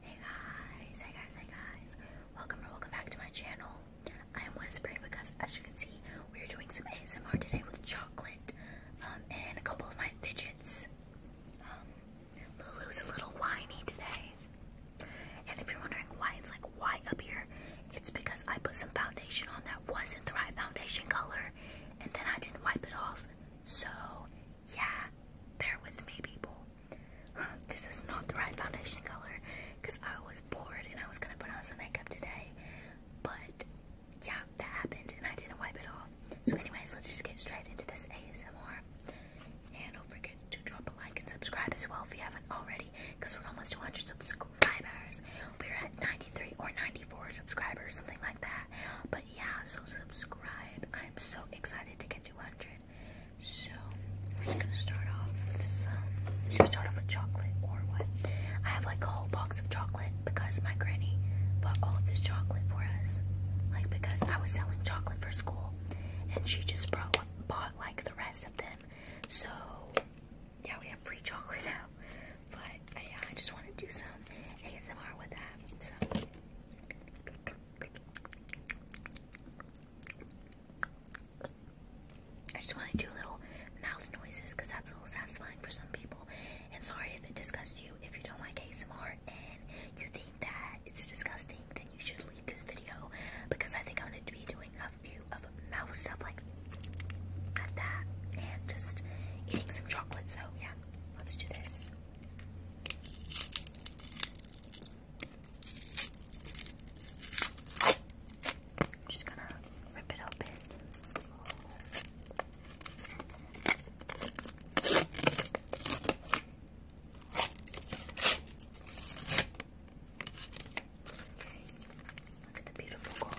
Hey guys, hey guys, hey guys. Welcome or welcome back to my channel. I am whispering because as you can see, we are doing some ASMR today with chocolate um, and a couple of my fidgets. Um, Lulu's a little whiny today. And if you're wondering why it's like why up here, it's because I put some foundation on that wasn't the right foundation color and then I didn't wipe it off. So yeah, bear with me people this is not the right foundation color because I was bored and I was gonna put on some makeup today, but yeah, that happened and I didn't wipe it off. So, anyways, let's just get straight into this ASMR. And don't forget to drop a like and subscribe as well if you haven't already because we're almost 200 subscribers. We're at 93 or 94 subscribers, something like that. But yeah, so subscribe. I'm so excited to get 200. So we're just gonna start off with some. Should we start off with chocolate or what? I have like a whole box of chocolate because my granny bought all of this chocolate for us. Like because I was selling chocolate for school, and she just brought bought like the rest of them. So yeah, we have free chocolate now. But yeah, I just want to do some ASMR with that. So. I just want to do little mouth noises because that's a little satisfying for some people. And sorry if it disgusts you. If you don't like ASMR and you think that it's disgusting, then you should leave this video because I think I'm going to be doing a few of mouth stuff like that and just eating some chocolate. So, yeah, let's do this. I'm just gonna rip it open. Look at the beautiful gold.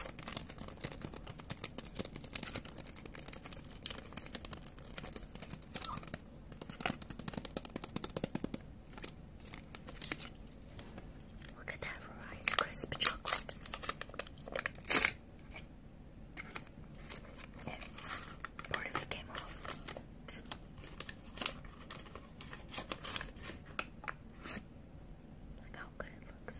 Look at that Rice Crisp chocolate. part of it came off. Look how good it looks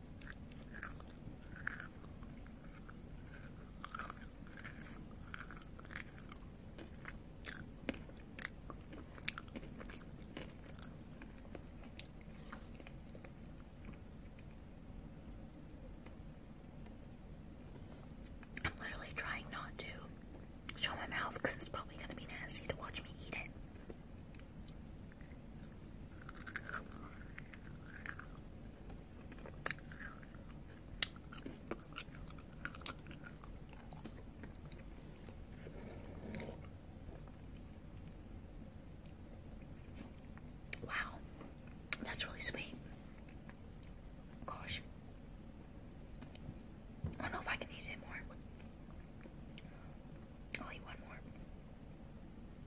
I'm literally trying not to show my mouth because it's probably going to be nasty to watch me eat it. Wow, that's really sweet. Gosh, I don't know if I can eat any more. I'll eat one more.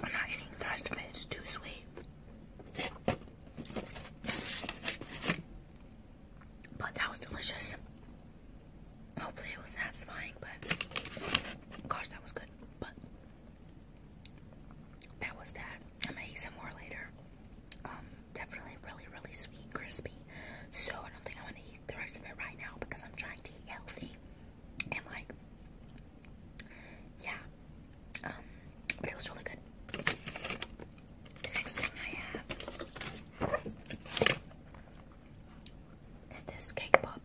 I'm not eating the rest of it, it's too sweet. But that was delicious. Hopefully it was satisfying, but gosh, that was good. But that was that. I'm gonna eat some more later. Um, definitely really, really sweet, crispy. So I don't think I'm gonna eat the rest of it right now because I'm trying to eat healthy and like yeah, um, but it was really good. The next thing I have is this cake poppet.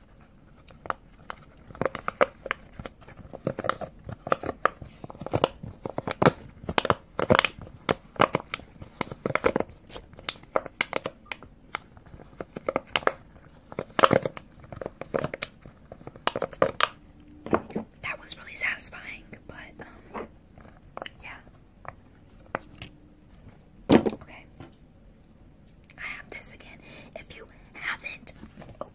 That was really satisfying, but um, yeah. Okay. I have this again. If you haven't, oh,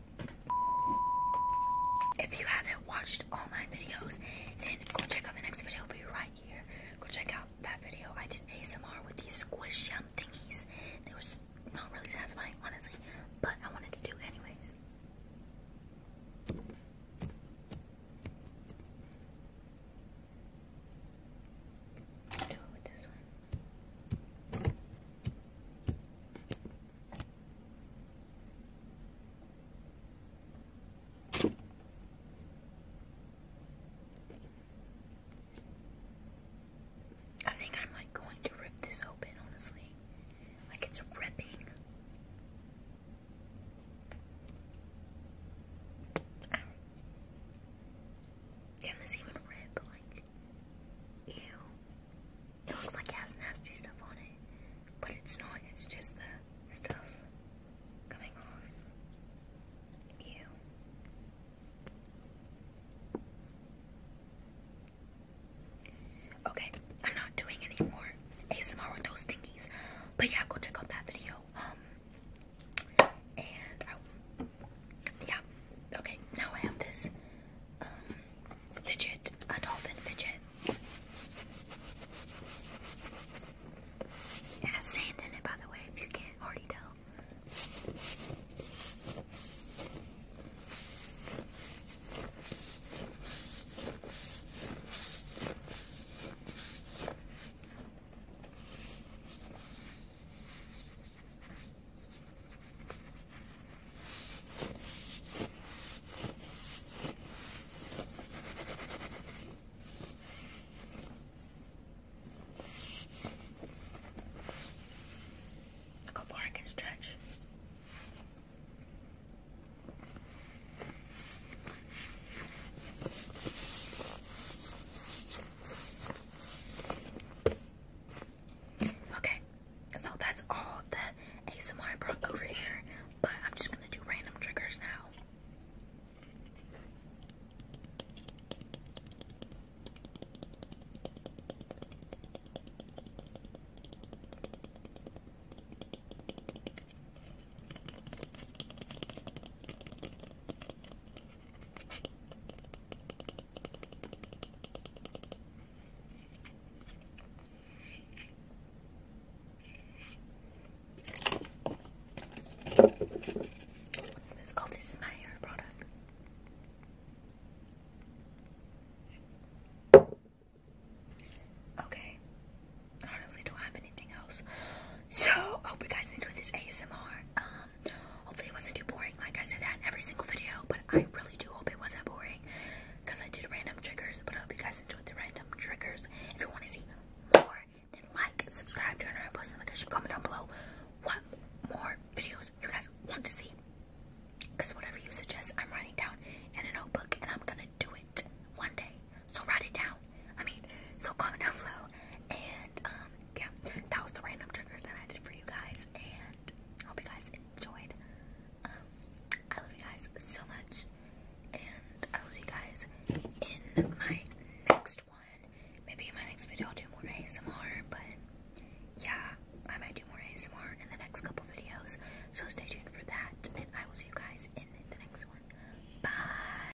if you haven't watched all my videos, then go check out the next video. It'll be right here. Go check out that video. I did ASMR with these squish yum thingies. They were not really satisfying, honestly, but I wanted to do anyways. Do it with this one. I think I'm like going to rip this open, honestly. Like it's ripping. Can this even rip? Like, ew. It looks like it has nasty stuff on it, but it's not. It's just the stuff coming off. Ew. Okay, I'm not doing any more ASMR but yeah, go check out that video. Um, yeah, okay. Now I have this um, a dolphin fidget. It sand in it, by the way, if you can't already tell. A couple I can stretch. Okay, so that's all the ASMR brought over here, but I'm just gonna do random triggers now. What's this? Oh, this is my hair product. Okay. Honestly, do I have anything else? So, I hope you guys enjoyed this ASMR. Um, hopefully it wasn't too boring. Like I said that in every single video, but I really do hope it wasn't boring. Because I did random triggers, but I hope you guys enjoyed the random triggers. If you want to see more, then like, subscribe, turn on post notifications, comment down below what more videos you guys want to see. Because whatever you suggest, I'm writing down in a notebook, and I'm going to do it one day. So write it down down. I mean, so comment down below. And um, yeah, that was the random triggers that I did for you guys. And hope you guys enjoyed. Um, I love you guys so much. And I will see you guys in my next one. Maybe in my next video I'll do more ASMR, but yeah, I might do more ASMR in the next couple videos. So stay tuned for that. And I will see you guys in the next one. Bye.